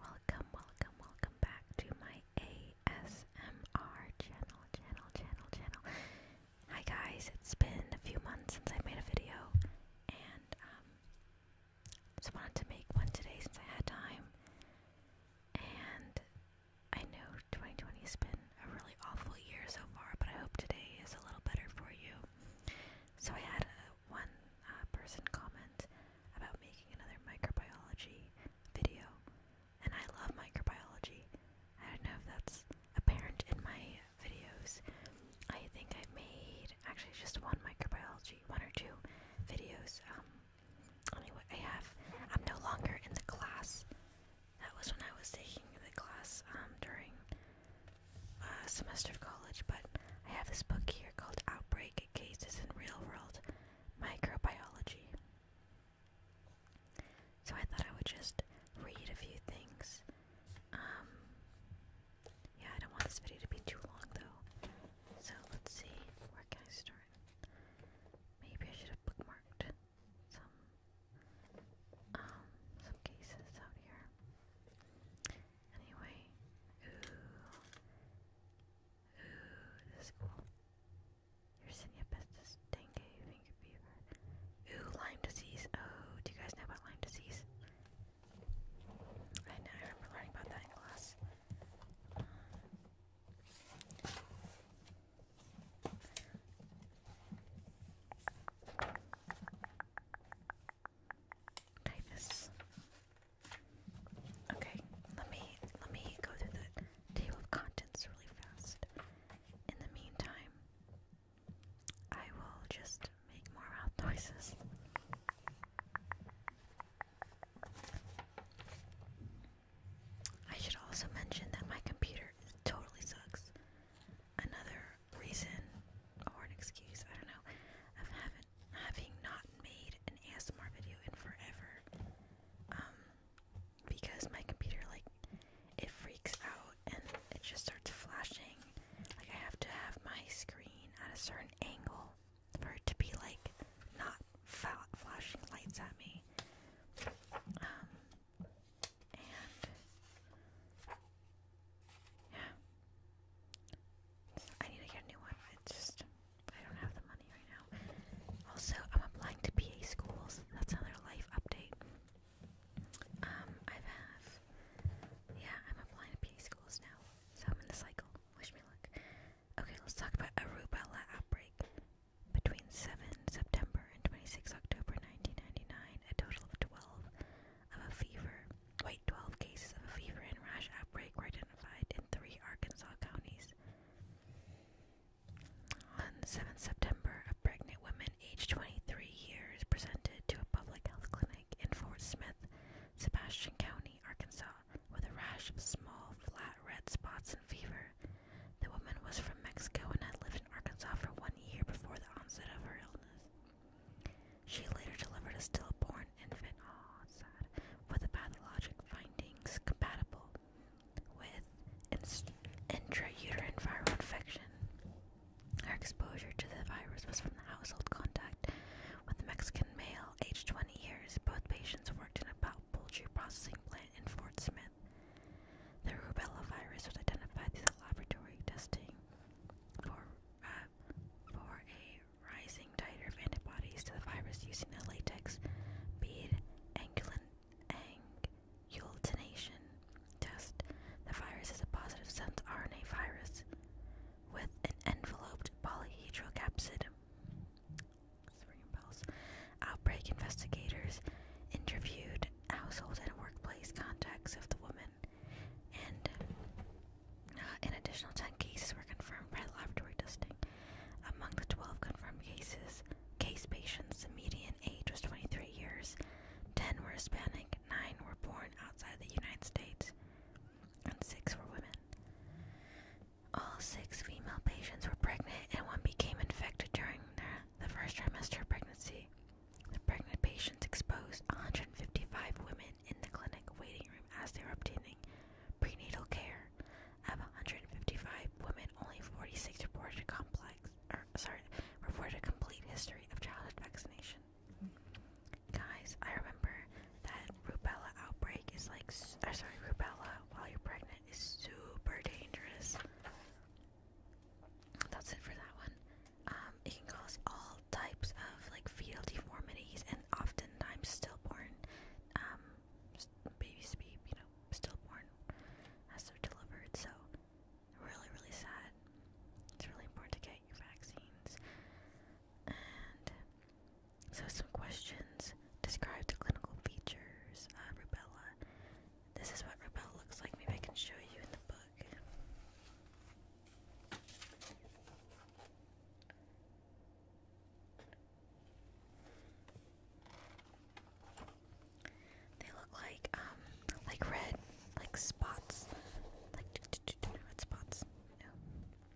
Welcome, welcome, welcome back to my ASMR channel, channel, channel, channel. Hi guys, it's been a few months since I made a video, and um, just wanted to make one today since I had time. And I know 2020 has been a really awful year so far, but I hope today is a little better for you. So I had one uh, person comment about making another microbiology video, and I love microbiology. I don't know if that's apparent in my videos. I think i made actually just one microbiology, one or two videos. anyway, um, I have. I'm no longer in the class. That was when I was taking the class um, during a uh, semester of college, but I have this book here called Outbreak Cases in Real World Microbiology. So I thought I would just read a few things. Um, yeah, I don't want this video to be too long though. So let's see, where can I start? Maybe I should have bookmarked some um, some cases out here. Anyway, ooh, ooh, this is cool. Yersinia pestis, dengue, finger fever. Ooh, Lyme disease. Oh, do you guys know about Lyme disease? I know, I remember learning about that in class. Okay, let me let me go through the table of contents really fast. In the meantime, I will just make more mouth noises. I should also mention that my computer totally sucks. Another reason or an excuse, I don't know, haven't having not made an ASMR video in forever. Um because my computer like it freaks out and it just starts flashing. Like I have to have my screen at a certain angle for it to be like not flashing lights at me. Um and yeah, I need to get a new one. It's just I don't have the money right now. Also, I'm applying to PA schools. That's another life update. Um, I've have yeah, I'm applying to PA schools now. So I'm in the cycle. Wish me luck. Okay, let's talk about a rubella outbreak. Between 7 September and 26 October 1999, a total of 12 of a fever, Wait, 12 cases of a fever and rash outbreak were identified in three Arkansas counties. On 7 September, a pregnant woman aged 23 years presented to a public health clinic in Fort Smith, Sebastian County, Arkansas, with a rash of small, flat red spots and fever. The woman was from Mexico and had lived in Arkansas for one year before the onset of her illness. She later delivered a stillborn infant, with pathologic findings compatible with intrauterine viral infection. Her exposure to the virus was from the household contact with a Mexican male, aged 20 years. Both patients worked in a poultry processing plant in Fort Smith. The rubella virus was identified through the laboratory testing for for a rising titer of antibodies to the virus using a latex bead angulation test. The virus is a positive sense RNA virus with an enveloped polyhedral capsid. Outbreak investigators interviewed household and workplace contacts of the woman and an additional 10 cases were confirmed by laboratory testing. Among the 12 confirmed cases, case patients, the median age was 23 years. 10 were Hispanic, 9 were born outside the United States, and 6 were women. All six female patients were pregnant, and one became infected during their, the first trimester of pregnancy. The pregnant patients exposed 155 women in the clinic waiting room as they are obtaining prenatal care. Of 155 women, only 46 reported complex, or sorry, reported a complete history of childhood vaccination. Guys, I remember that rubella outbreak is like, sorry, rubella while you're pregnant is super dangerous. That's it for that one. Um, it can cause all types of like fetal deformities and oftentimes stillborn um, babies be you know stillborn as they're delivered so really really sad it's really important to get your vaccines and so some questions describe the clinical features rubella this is what rubella looks like maybe i can show you in the book they look like um like red like spots like red spots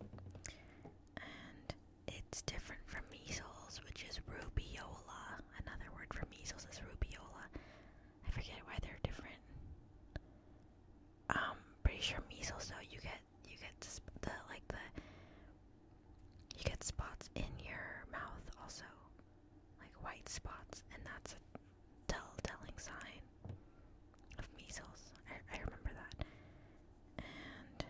and it's different from measles which is rubiola another word for measles is rubiola I forget why they're different um pretty sure measles though you get you get the like the you get spots in your mouth also, like white spots, and that's a tell telling sign of measles. I remember that, and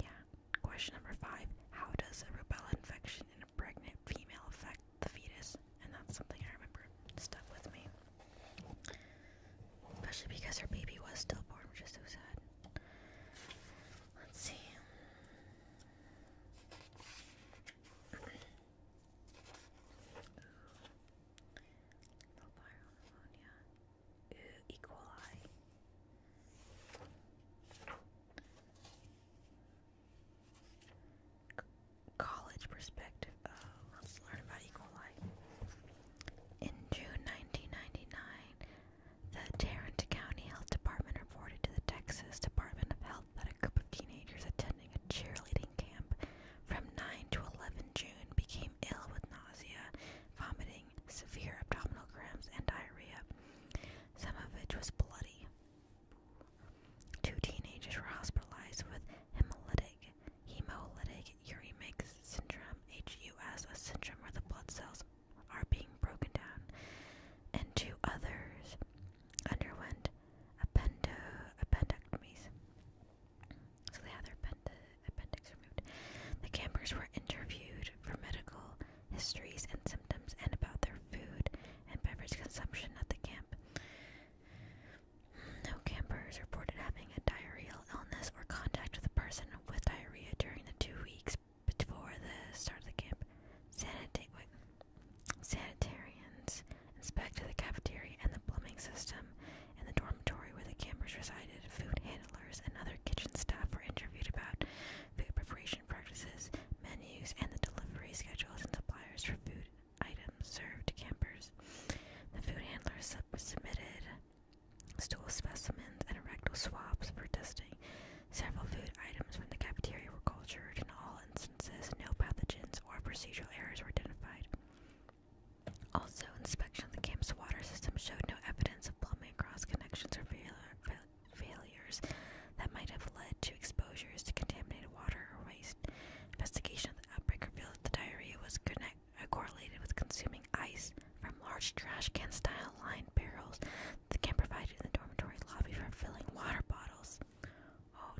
yeah. Question number five: How does a rubella infection in a pregnant female affect the fetus? and that's something I remember stuck with me. Especially because her baby was stillborn, which is so sad. Let's see. Little pneumonia. Ooh, equali college perspective let's learn about E. coli. In June 1999, the Tarrant County Health Department reported to the Texas Department of Health that a group of teenagers attending a cheerleading camp from 9 to 11 June became ill with nausea, vomiting, severe abdominal cramps, and diarrhea, some of which was bloody. Two teenagers were hospitalized with hemolytic hemolytic uremic syndrome, HUS, a syndrome where the blood cells are being broken down, and two others underwent appendo appendectomies. So they had their appendix removed. The campers were interviewed for medical histories and symptoms and about their food and beverage consumption at the camp. No campers reported having a diarrheal illness or contact with a person with diarrhea during the two weeks before the start of the camp. Sanitarians inspected the cafeteria and the plumbing system in the dormitory where the campers resided. Food handlers and other kitchen staff were interviewed about food preparation practices, menus, and the delivery schedules and suppliers for food items served to campers. The food handler submitted stool specimens and rectal swabs for testing. Several food items from the cafeteria were cultured. In all instances, no pathogens or procedural errors were identified. Also, inspection of the camp's water system showed no evidence of plumbing cross connections or failures that might have led to exposures to contaminated water or waste. Investigation of the outbreak revealed that the diarrhea was connected are correlated with consuming ice from large trash can style lined barrels that can provide in the dormitory lobby for filling water bottles. Oh,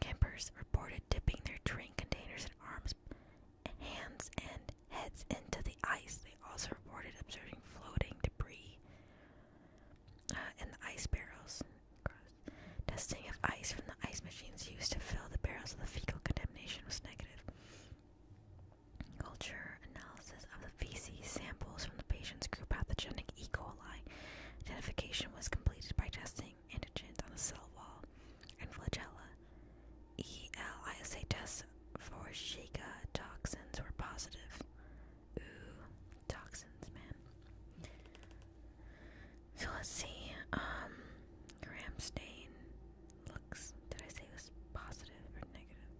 Campers reported dipping their drink containers and arms, hands, and heads into the ice. They also reported observing floating debris uh, in the ice barrels Gross. Testing of ice from the ice machines used to fill the barrels of the fecal contamination was negative. Culture analysis of the feces samples from the patient's group pathogenic E. coli. Identification was completed by testing antigens on the cell wall and flagella. ELISA tests for Shika toxins were positive. Ooh, toxins, man. So let's see. Um, Ramstein looks. Did I say it was positive or negative?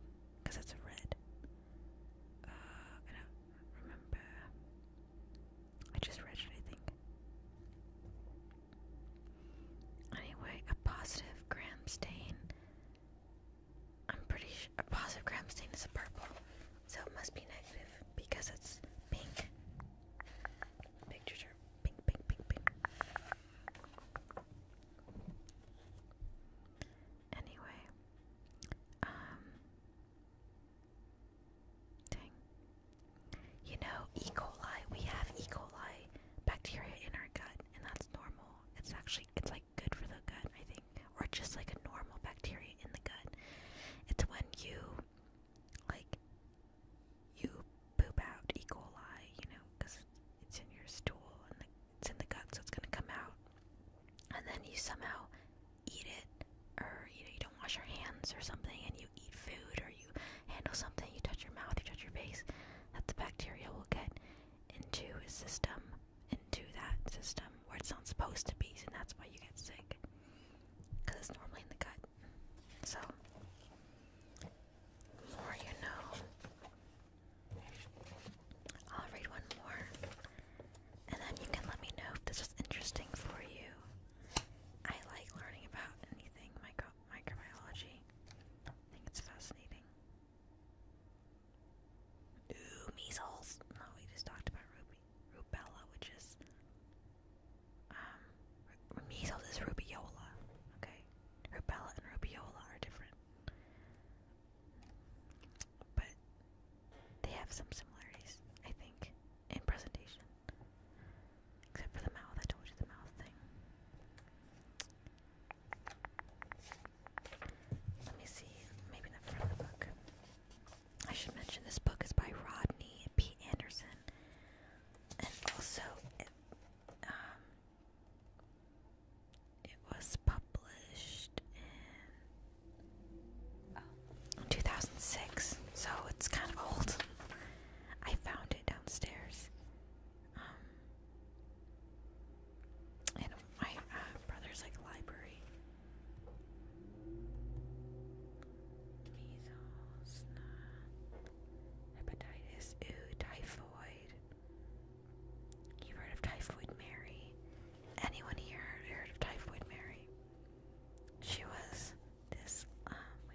Because it's red. Uh, I don't remember. I just read it, I think. Anyway, a positive gram stain. I'm pretty sure a positive gram stain is a purple, so it must be negative because it's pink. Pictures picture. Ping, ping, ping, Anyway, um, dang. You know, E. coli. We have E. coli bacteria in our gut, and that's normal. It's actually, it's like good for the gut, I think, or just like a normal bacteria in the gut. It's when you, like, you poop out E. coli, you know, because it's in your stool and the, it's in the gut, so it's gonna come out. And then you somehow eat it, or you know, you don't wash your hands or something, and you eat food, or you handle something, you touch your mouth, you touch your face, that the bacteria will get into his system, into that system where it's not supposed to be, and that's why you get sick. Because it's normally in the gut. So, more you know. I'll read one more, and then you can let me know if this was interesting for you. I like learning about anything micro microbiology. I think it's fascinating. measles. No, we just talked about ruby, rubella, which is Measles um, is rubiola, okay? Rubella and rubiola are different. But they have some similarities, I think, in presentation. Except for the mouth, I told you the mouth thing. Let me see, maybe the front of the book. I should mention this book is by Rodney P. Anderson and also um, it, was published in 2006, so it's kind of old. I found it downstairs. Um, in my uh, brother's like library measles, hepatitis, typhoid. you heard of Typhoid Mary? Anyone here heard of Typhoid Mary? She was this, um, Oh,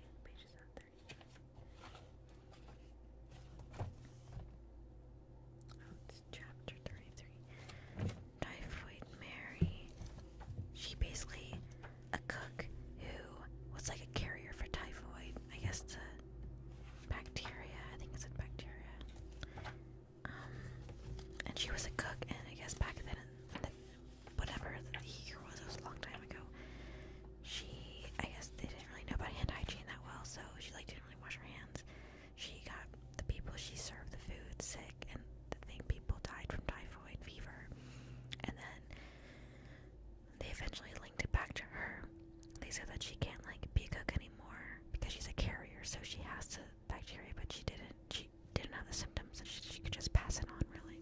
it's chapter 33. Typhoid Mary she basically a cook who was like a carrier for typhoid. I guess it's a bacteria. I think it's a bacteria. Um, and she was a cook, and I guess back then, whatever the year was, it was a long time ago. She, I guess, they didn't really know about hand hygiene that well, so she like didn't really wash her hands. She got the people she served the food sick, and the thing people died from typhoid fever. And then they eventually linked it back to her. They said that she can't like be a cook anymore because she's a carrier, so she has to bacteria, but she didn't. She didn't have the symptoms, and she, could just pass it on, really.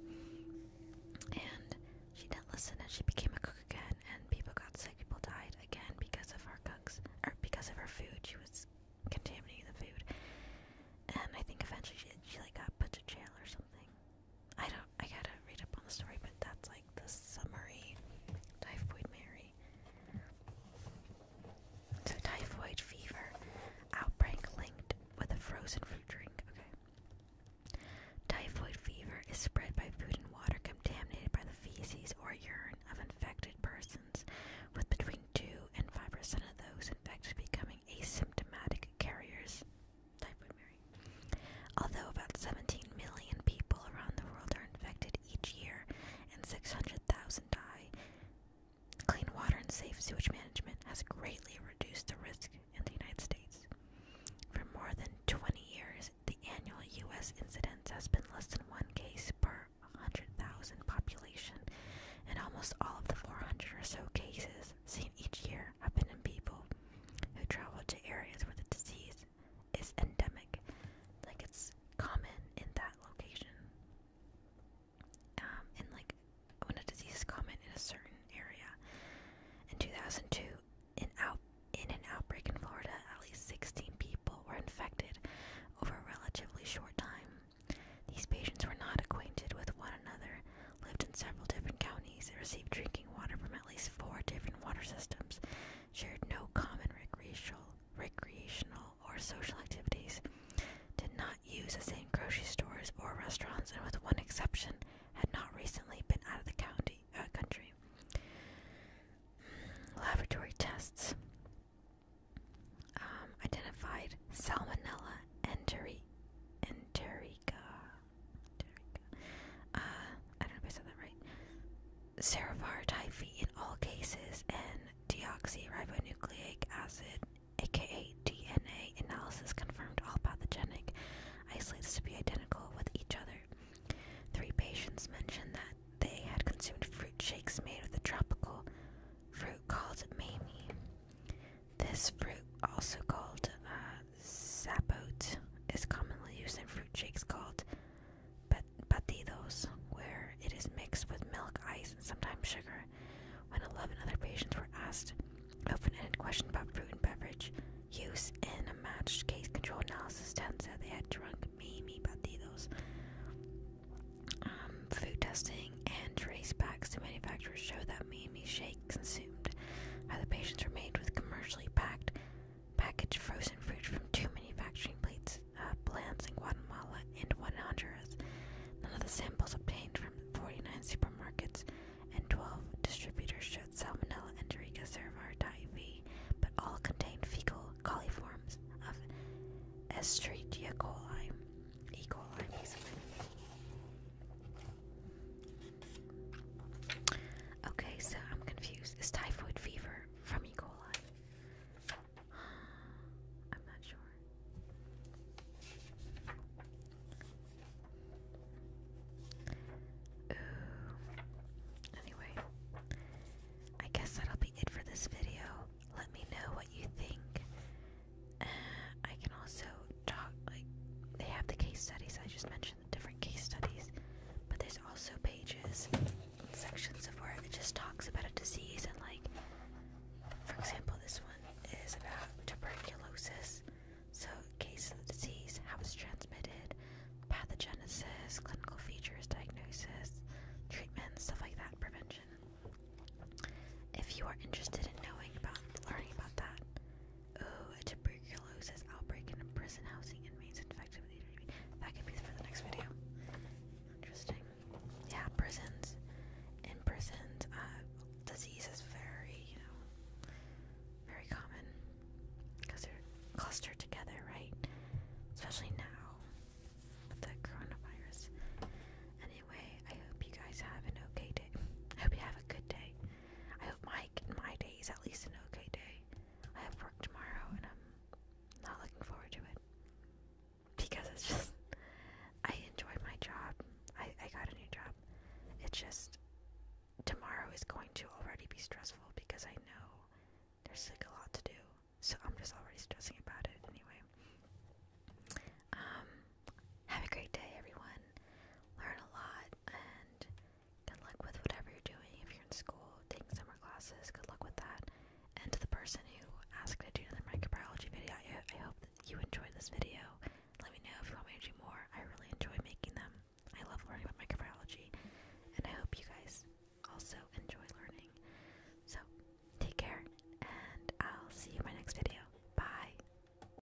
And she didn't listen, and she became a cook again. And people got sick. People died again because of her cooks, or because of her food. She was contaminating the food, and I think eventually she like got put to jail or something. I don't. I gotta read up on the story, but that's like the summary. Typhoid Mary. typhoid fever outbreak linked with a frozen fruit drink. Okay. Typhoid fever is spread by food and water contaminated by the feces or urine of infected persons, with between two and five percent of those infected becoming asymptomatic carriers. Although about 17 million people around the world are infected each year and 600,000 die, clean water and safe sewage management has greatly reduced the risk in the United States. For more than 20 years, the annual U.S. incidence has been less than one case per 100,000 population, and almost all of the 400 or so cases seen each year have been in people who travel to areas where the disease is endemic, like it's common in that location. Um, and like when a disease is common in a certain area. In 2002, in, out, in an outbreak in Florida, at least 16 people were infected over a relatively short time. These patients were not acquainted with one another, lived in several different counties, and received drinking water from at least four different water systems, shared no common recreational, recreational or social activities, did not use the same grocery stores or restaurants, and with one exception, had not recently been out of the county uh, country. Laboratory tests um, identified Salmonella enteri Derica. Uh, I don't know if I said that right. Cervar typhi in all cases and deoxyribonucleic acid, aka DNA, analysis confirmed all pathogenic isolates to be identical with each other. Three patients mentioned that they had consumed fruit shakes made with a tropical fruit called mamey. This fruit, also called zapote, uh, is commonly used in fruit shakes called batidos, where it is mixed with milk, ice, and sometimes sugar. When 11 other patients were asked open ended questions about fruit and beverage use in a matched case control analysis, 10 said they had drunk Mimi Batidos. Um, food testing and tracebacks to manufacturers show that that Miami consumed, how the patients were made with commercially packed, packaged frozen fruit from two manufacturing uh, plants in Guatemala and one in Honduras. None of the samples obtained from 49 supermarkets and 12 distributors showed Salmonella enterica cerevisiae typhi, but all contained fecal coliforms of Escherichia coli, E. coli, Okay, so I'm confused. Is typhoid fever from E. coli? I'm not sure. Anyway, I guess that'll be it for this video. Let me know what you think. I can also talk, like, they have the case studies. I just mentioned the different case studies, but there's also pages sections of where it just talks about a disease. And, like, for example, this one is about tuberculosis. So, case of the disease, how it's transmitted, pathogenesis, clinical features, diagnosis, treatment, stuff like that, prevention. If you are interested in knowing about learning about that, Oh, a tuberculosis outbreak in a prison housing inmates infected with HIV. That could be for the next video. Interesting. Yeah, prisons. In prisons, uh, disease is very, you know, very common because they're clustered together, right? Especially now with the coronavirus. Anyway, I hope you guys have an okay day. I hope you have a good day. I hope Mike my day is at least an okay day. I have work tomorrow and I'm not looking forward to it. Because it's just I enjoy my job. I, I got a new job. It's just tomorrow is going to already be stressful because I know there's like a lot to do. So I'm just already stressing about it anyway. Um have a great day, everyone. Learn a lot, and good luck with whatever you're doing. If you're in school, taking summer classes, good luck with that. And to the person who asked to do another microbiology video, I, hope you enjoyed this video. Let me know if you want me to do more. I really enjoy making them. I love learning about microbiology, and I hope you guys also enjoy learning. So, take care, and I'll see you in my next video. Bye.